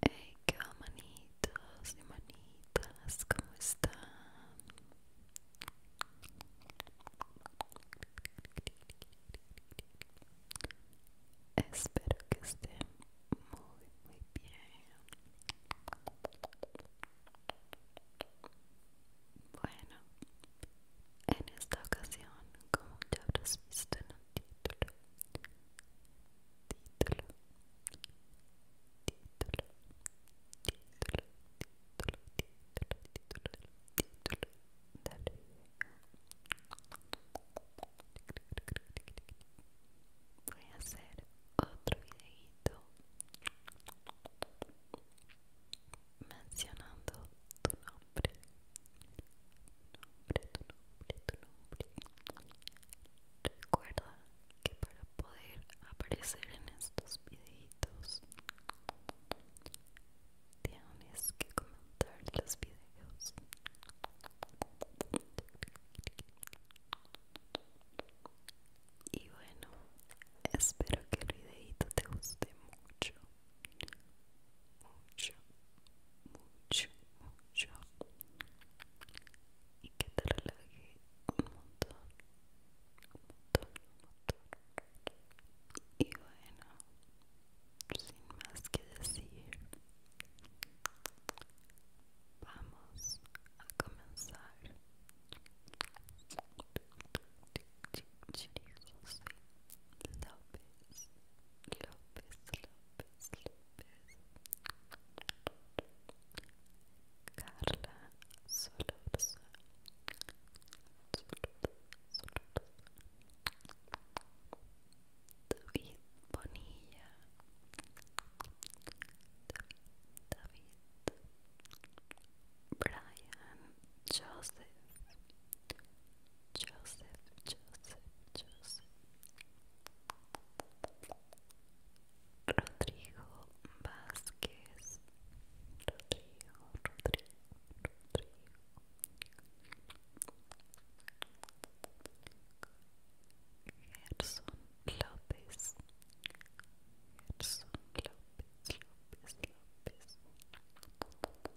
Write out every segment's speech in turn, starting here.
Hey, qué manitos y manitas, ¿cómo están? Espero que estén muy, muy bien. Bueno, en esta ocasión, como ya habrás visto en el título, título, título, título, título, título, título, título, dale. Voy a hacer otro videito mencionando tu nombre nombre, nombre, nombre, tu nombre. Recuerda que para poder aparecer en estos videitos tienes que comentar los videos. Y bueno, espero que el videito te guste mucho mucho, mucho, mucho y que te relaje un montón, un montón, un montón. Y bueno, sin más que decir, vamos a comenzar. López Lopez, Lopez, Lopez Carla Solorza David Bonilla David, David Brian Joseph, Joseph, Joseph, Joseph, Rodrigo Vázquez, Rodrigo, Rodrigo, Rodrigo. Gerson López, Gerson López, López, López,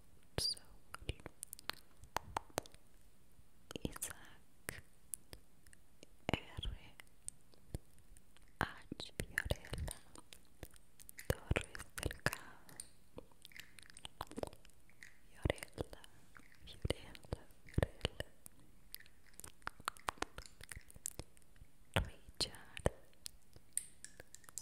so Isaac R. H. Fiorella Torres Delgado Fiorella, Fiorella, Fiorella Richard C.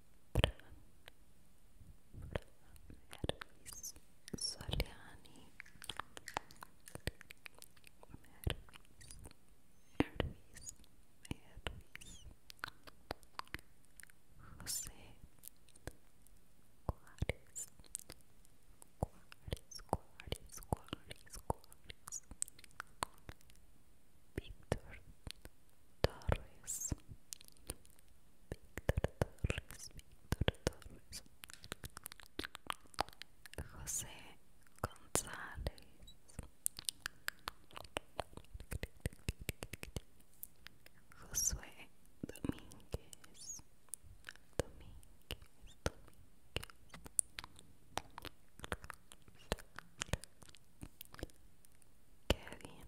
Mervis Soliani Mervis Mervis Mervis José Juárez Juárez Juárez Juárez Juárez Víctor Torres Víctor Torres, Víctor Torres, José González, Josué Domínguez, Domínguez, Domínguez, Kevin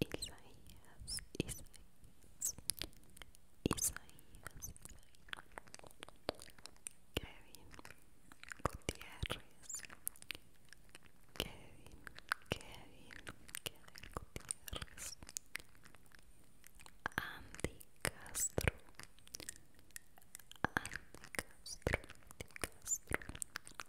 Isaías, Isaías, Isaías, Kevin Gutiérrez, Kevin, Kevin, Kevin Gutiérrez, Andy Castro, Andy Castro, Andy Castro,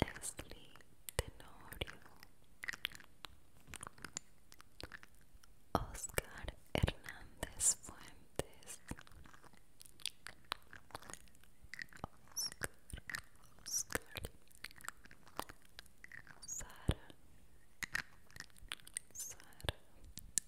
Leslie Tenorio Oscar Hernández Fuentes Oscar, Oscar Sara Sara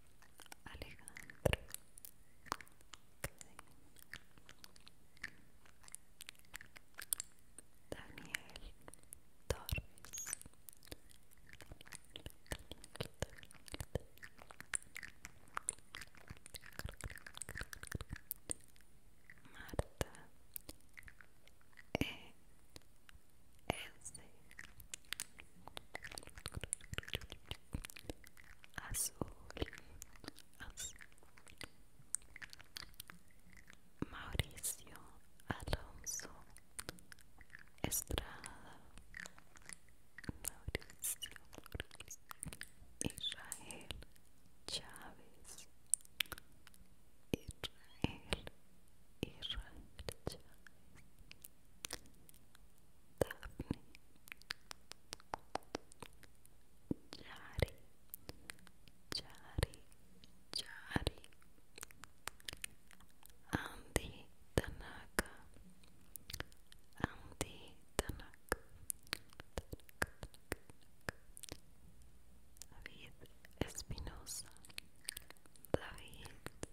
Alejandro Daniel Torres Marta E. S azul, Mauricio Alonso Estrada, Mauricio, Israel Chávez, Israel, Israel Chávez. Daphne, Jari, Jari, Jari, Andy Tanaka, Andy Tanaka. David Espinosa, David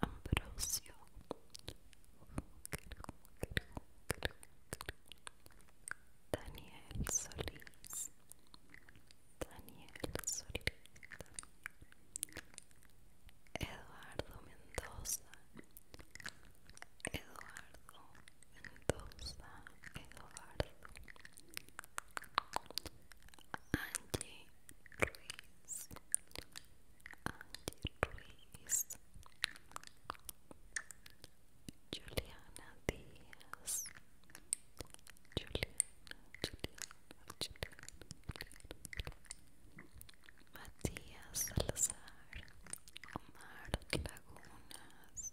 Ambrosio Daniel Solís Daniel Solís Eduardo Mendoza Eduardo Mendoza Eduardo Andy Ruiz, Juliana Diaz, Juliana, Juliana, Juliana, Matías Salazar, Omar Lagunas.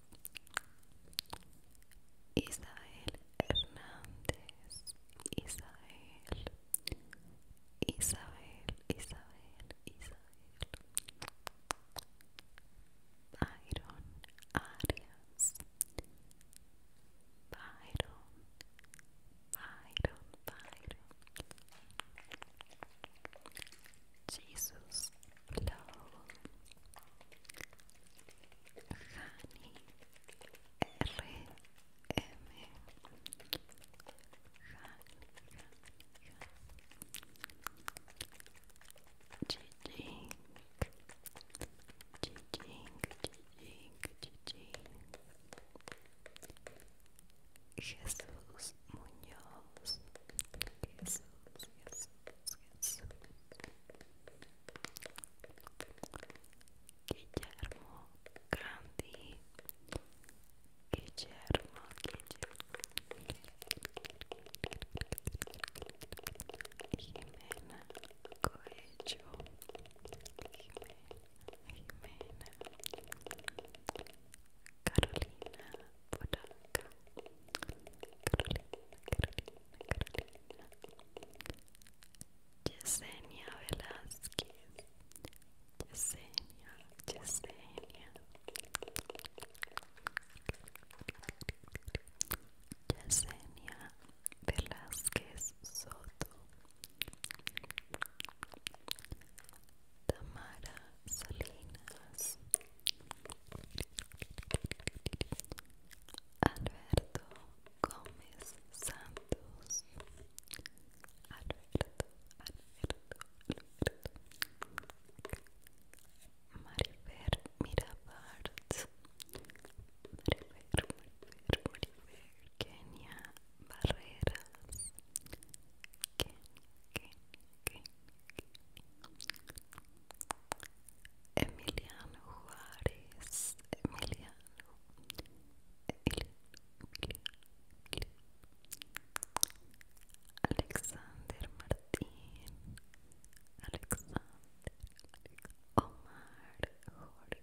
Isael Hernández, Isael, Isael, Isael, Isael, Byron Arias, Byron, Byron, Byron, Jesus Low. Hani R M Jijing Jijing Jijing Jijing Jesús Muñoz Jesús Jesús Jesús Guillermo Grandi Guillermo, Guillermo Jimena Coelho, Jimena, Jimena Carolina Poranca Carolina, Carolina, Carolina Yesenia Velázquez Yesenia, Yesenia Yesenia Velázquez Soto Tamara Salinas Alberto Gómez Santos Alberto, Alberto, Alberto Marifer Mirabart Marifer, Marifer, Marifer Kenia Barreras Kenia, Kenia, Kenia, Emiliano Juárez, Emiliano, Emiliano, Emiliano, Alexander Martín, Alexander, Omar Jorge,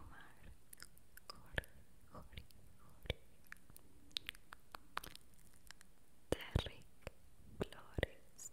Omar Jorge, Jorge, Jorge. Derrick Flores,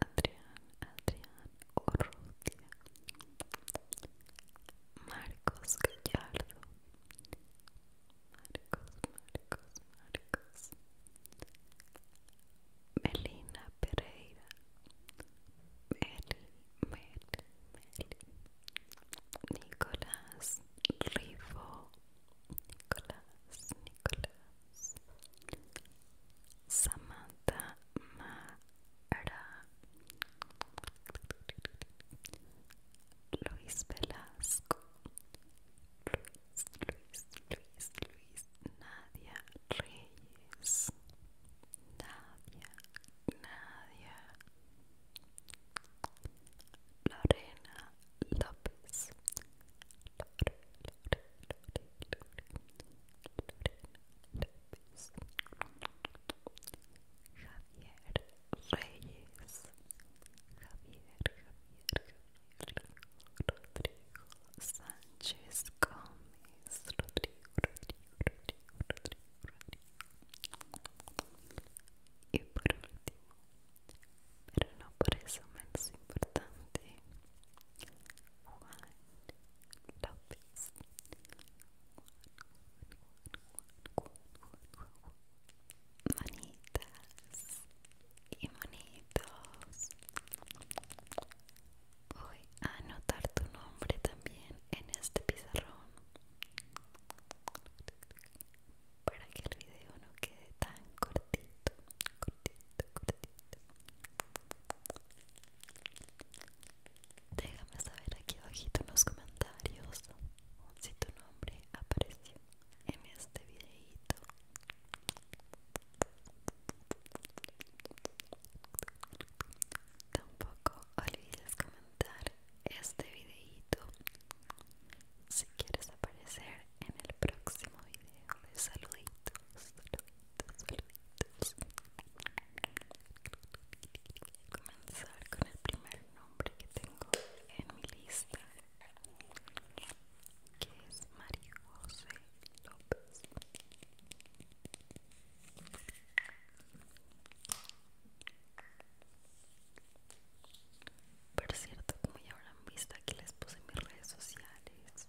Adrián, Adrián Orrutia, Marcos Gallardo, Marcos, Marcos, Marcos, Melina Pereira, Meli, Meli, Meli, Nicolás Rivo Nicolás, Nicolás. Samantha Mara Luis Velasco Luis, Luis, Luis, Luis Nadia Reyes Nadia, Nadia Lorena López Javier Reyes Javier Javier Rodrigo Sánchez Gómez Rodrigo Rodrigo Rodrigo Rodrigo Rodrigo y por último pero no por eso menos importante Manitas y manitos Voy a anotar tu nombre también en este pizarrón para que el video no quede tan cortito, cortito, cortito. Déjame saber aquí abajito en los comentarios si tu nombre apareció en este videito. Tampoco olvides comentar este videito si quieres aparecer en el próximo video de saluditos. Voy a comenzar con el primer nombre que tengo en mi lista, que es María José López. Por cierto, como ya habrán visto, aquí les puse mis redes sociales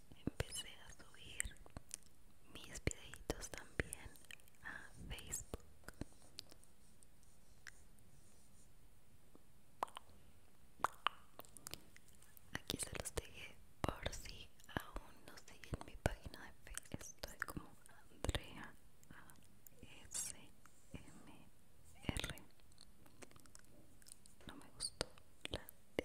empecé a subir mis videitos también a Facebook. Aquí se los dejé por si aún no siguen mi página de Facebook. Estoy como Andrea ASMR. No me gustó la D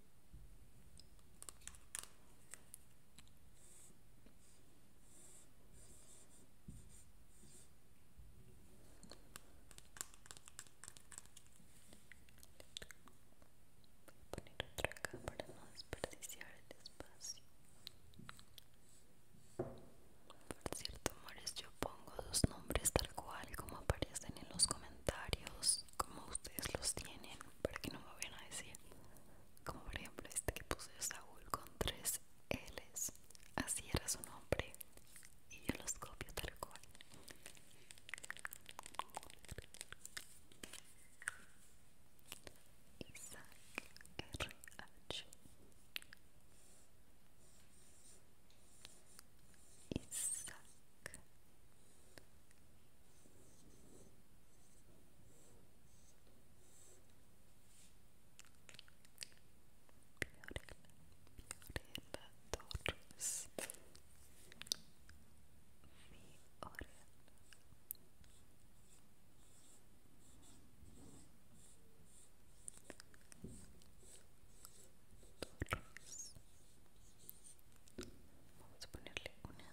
Voy a poner otra acá para no desperdiciar el espacio. Por cierto, amores, yo pongo los nombres tal cual como aparecen en los comentarios, como ustedes los tienen, para que no me vayan a decir como por ejemplo este que puse Saúl con tres L's, así era su nombre y yo los copio tal cual. Isaac R-H Isaac Vamos a ponerle una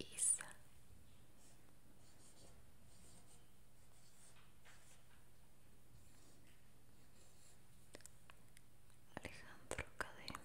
Isa Alejandro Cadena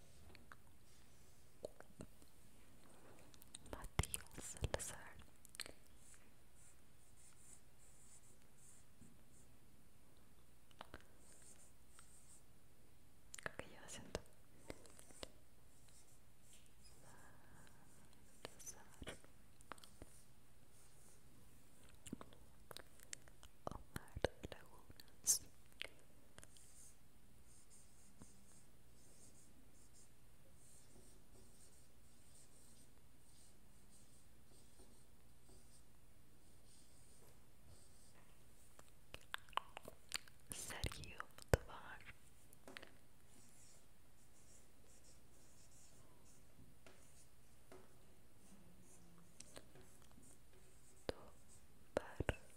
Matías Salazar Creo que ya siento Salazar Omar Lagunas Omar Lagunas Sergio you.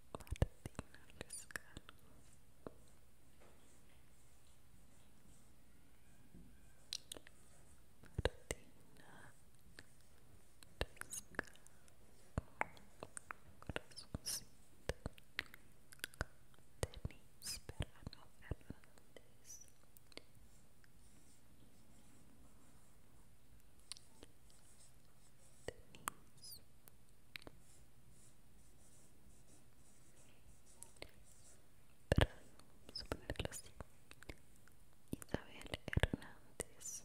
Martina Lescano Martina Lescano Corazoncito Denise Perano Fernández Martina the knees pero vamos a ponerlo así Isabel Hernández Hernández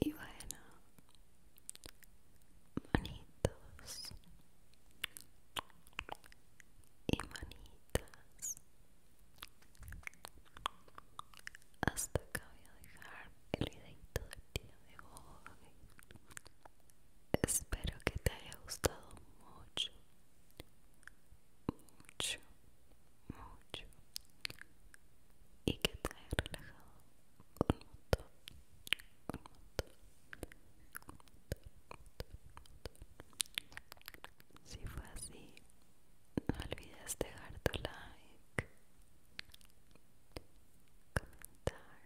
Y bueno, manitos y manitas. Hasta acá voy a dejar el videito del día de hoy. Espero que te haya gustado mucho mucho, mucho y que te haya relajado un montón, un montón, un montón, Si fue así, no olvides dejar tu like, comentar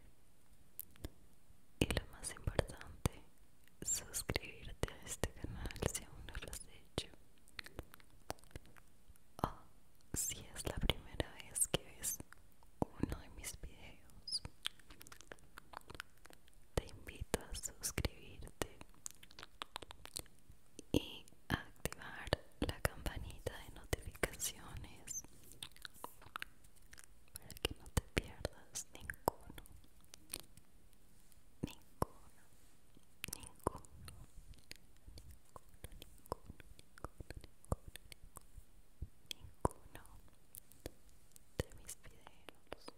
y lo más importante, suscribirte a este canal si aún no lo has o oh, si es la primera vez que ves uno de mis videos, te invito a suscribirte y activar la campanita de notificaciones para que no te pierdas ninguno ninguno, ninguno, ninguno, ninguno, ninguno, de mis videos.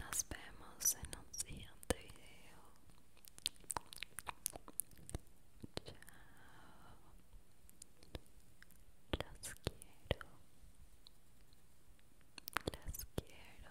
Nos vemos en un siguiente video. Chao. Las quiero. Las quiero.